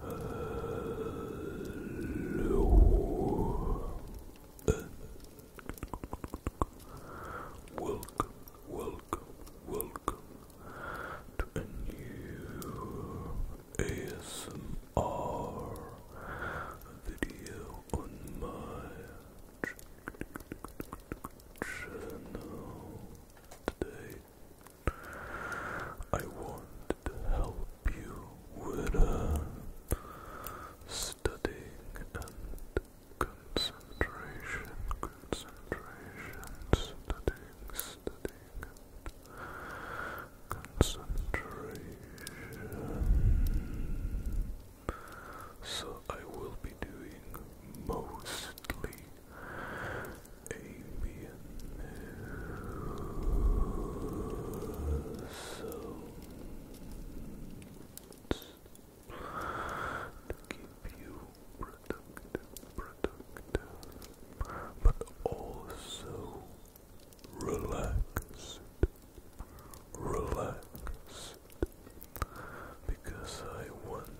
Hello. Welcome, welcome, welcome to a new ASMR video on my channel. Today I want to help you with uh, studying and concentration, concentration, studying, studying, and concentration. So I will be doing mostly Ambient news sounds to keep you productive, productive, but also relaxed, relaxed. Because I once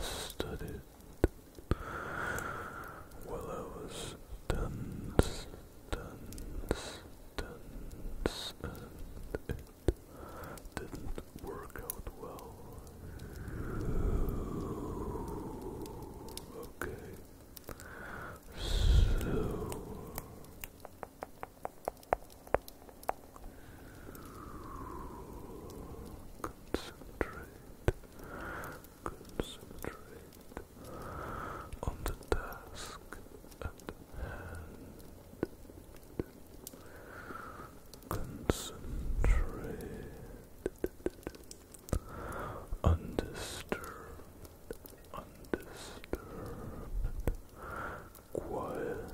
studied Willows, duns, duns, duns, and it didn't work out well. Okay, so. Concentrate concentrate on the task at hand. Concentrate, undisturbed, undisturbed, quiet,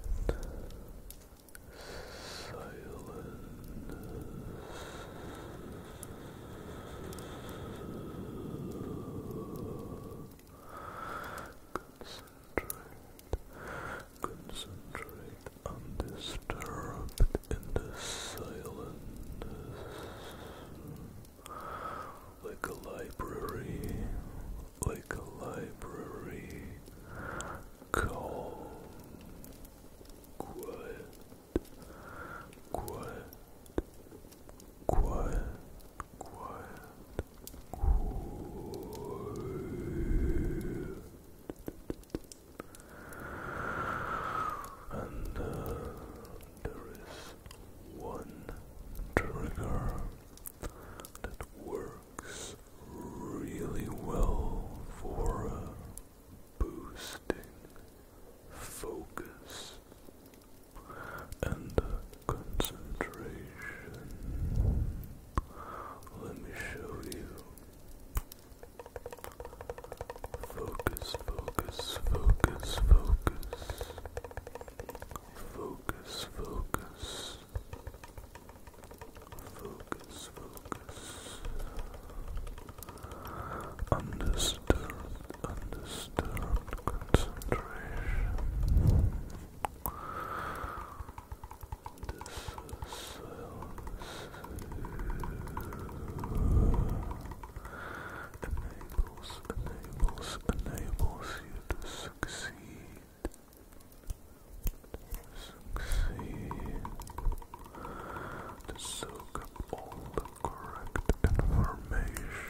Concentrate, concentrate undisturbed in the silence, like a library, like a library, calm, quiet quiet, quiet, quiet, quiet. And uh, there is one trigger that works really well for uh, boosting focus and concentration. Let me show you. Focus, focus, focus, focus. Focus, focus. Focus, focus. Undisturbed, undisturbed concentration. This is enables, enables, enables you to Succeed succeed to soak up all the correct information.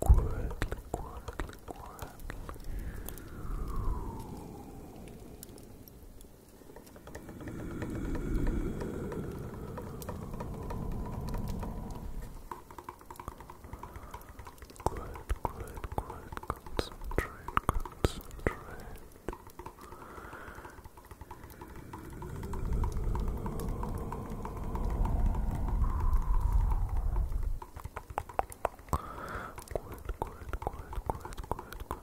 Quietly, quietly, quietly. Quiet, quiet, concentrate, concentrate. Quiet, quiet, quiet, quiet, quiet,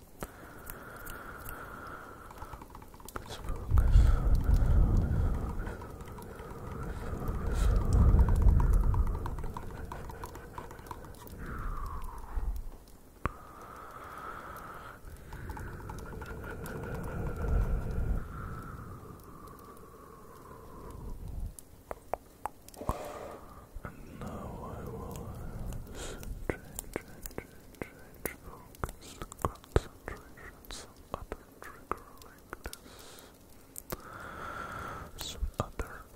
And now I will sit, sit, change, focus, other trigger this. other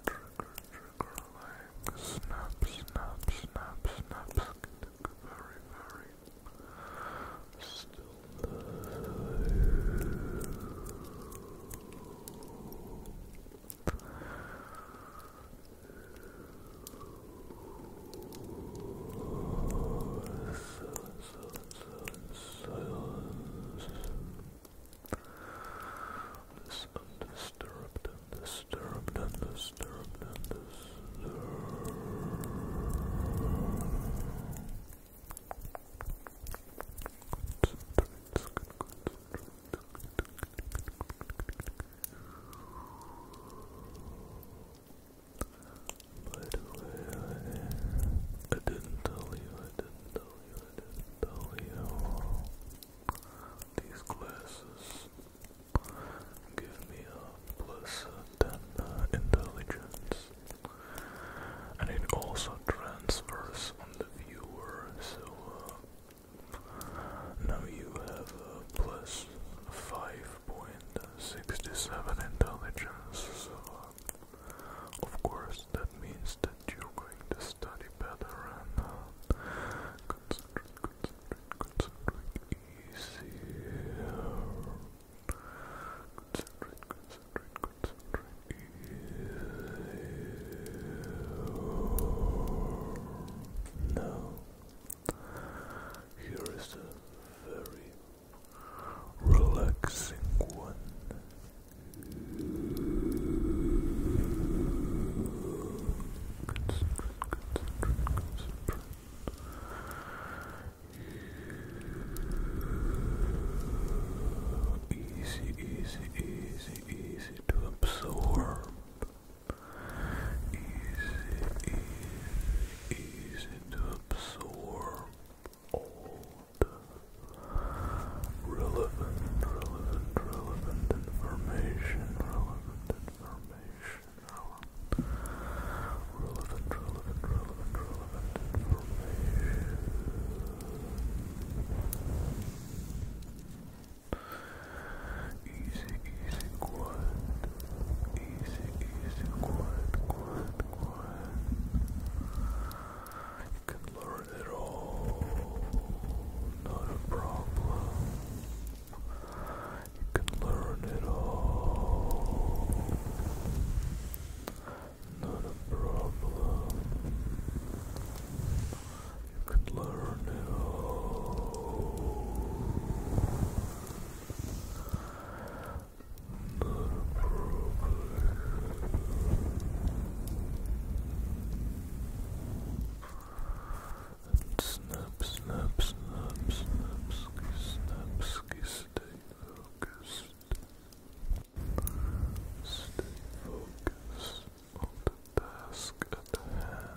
trigger, trigger snap, snap, snap, snap. very, very still. This undisturbed and disturbed and disturbed and disturbed. By the way, I, I didn't tell you, I didn't tell you, I didn't tell you. These glasses give me 10 uh, intelligence. And it also transfers on the viewer, uh, now you have a plus 5.67 intelligence, so uh, of course that means that you're going to study better and uh, concentrate, concentrate, concentrate easier. Concentrate, concentrate, concentrate easier. Now here is a very relaxing one. Concentrate, concentrate, concentrate. Easy, easy, easy, easy to absorb easy, easy, easy to absorb all the relevant, relevant, relevant information, relevant information, relevant, relevant, relevant, relevant, information. Easy, easy, quiet. Easy, easy, quiet, quiet, quiet. You can learn it all. Not a problem. You can learn it all. Not a problem you could learn and snap, snap, snap, snap, ski, snap, ski, stay focused. Stay focused on the task at hand.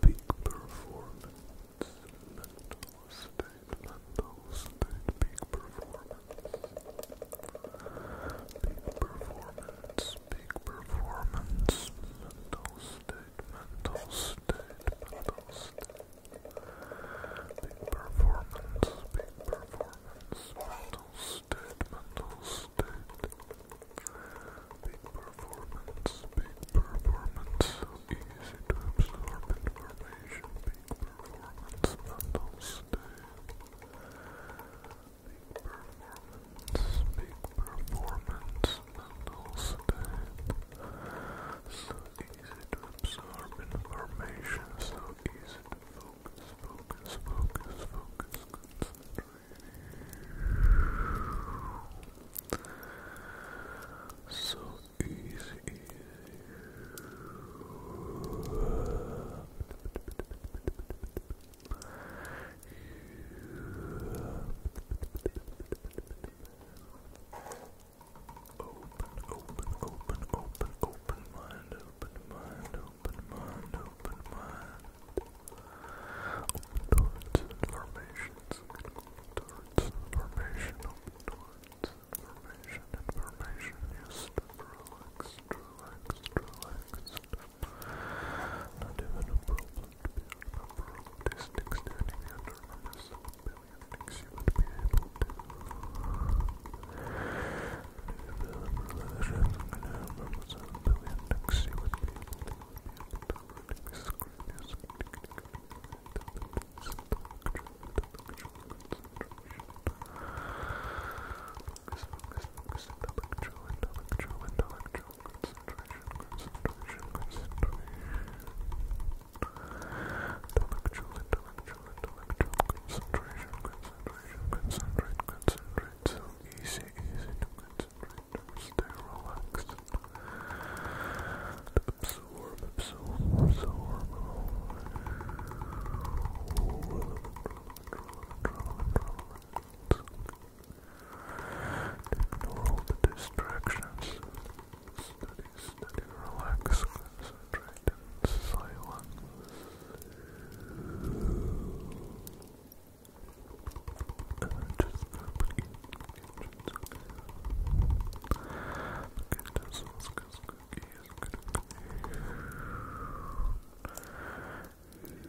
big performance, mental state, mental state, big performance, big performance, big performance, mental state, mental state, mental state. Big performance, big performance, mental state, mental state. Big performance, big performance, easy to absorb information, big performance, mental state. Big performance, big performance, mental state. So easy to absorb information, so easy to focus, focus, focus, focus, So easy. Open, open, open, open, open mind, open mind, open mind, open mind. Open towards informations, towards information, open towards information, information. Just relax, relax, relax. Not even a problem to be a problem. Distinct standing under number seven things you would be able to develop relationships and have some billion things you would be able to relax, greatness, Focus, focus, focus, intellectual, intellectual, intellectual concentration, concentration, concentration. Intellectual, intellectual, intellectual concentration, concentration, concentrate, concentrate. So easy, easy to concentrate. Stay relaxed. Absorb, absorb, absorb. all the distractions. Steady, steady, relax, concentrate and silence. And just grab it in. Get those Oscars cookies, cookies. Steady, steady, steady.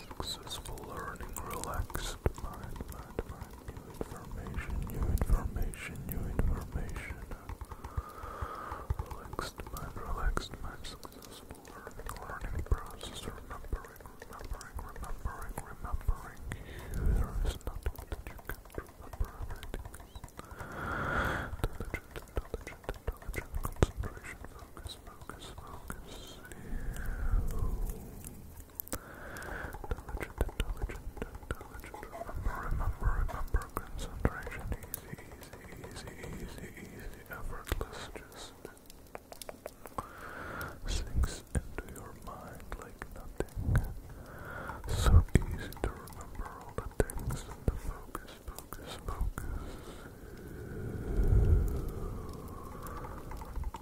Successful learning, relaxed mind, mind, mind, new information, new information, new information. Relaxed mind, relaxed mind, successful learning, learning remembering, remembering, remembering, remembering. There is nothing that you can remember, concentration, focus focus, focus, focus. Intelligent, intelligent, intelligent. Remember, remember, remember. Concentration. Easy, easy, easy, easy, easy. Effortless. Just sinks into your mind like nothing. So easy to remember all the things and the focus, focus, focus.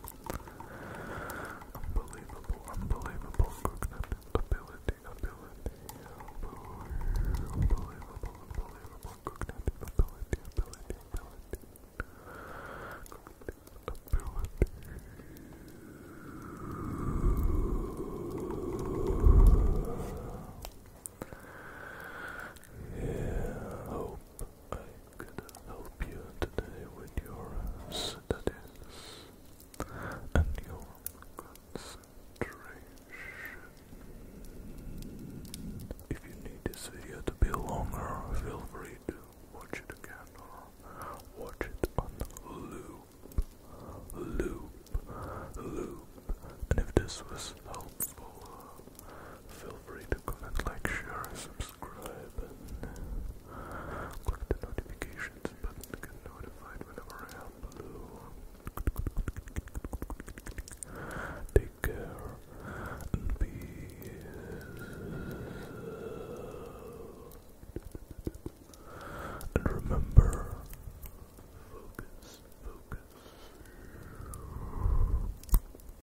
Unbelievable, unbelievable coconut ability, ability, unbelievable, unbelievable coconut ability, ability, ability, coconut ability. Yeah, hope, I could help you today with your studies and your concentration. If you need this video to be longer, feel free to watch it again or watch it on loop, loop, loop. And if this was helpful, Feel free to comment, like, share, and subscribe, click the notifications button to get notified whenever I upload. Take care and be and remember, focus, focus.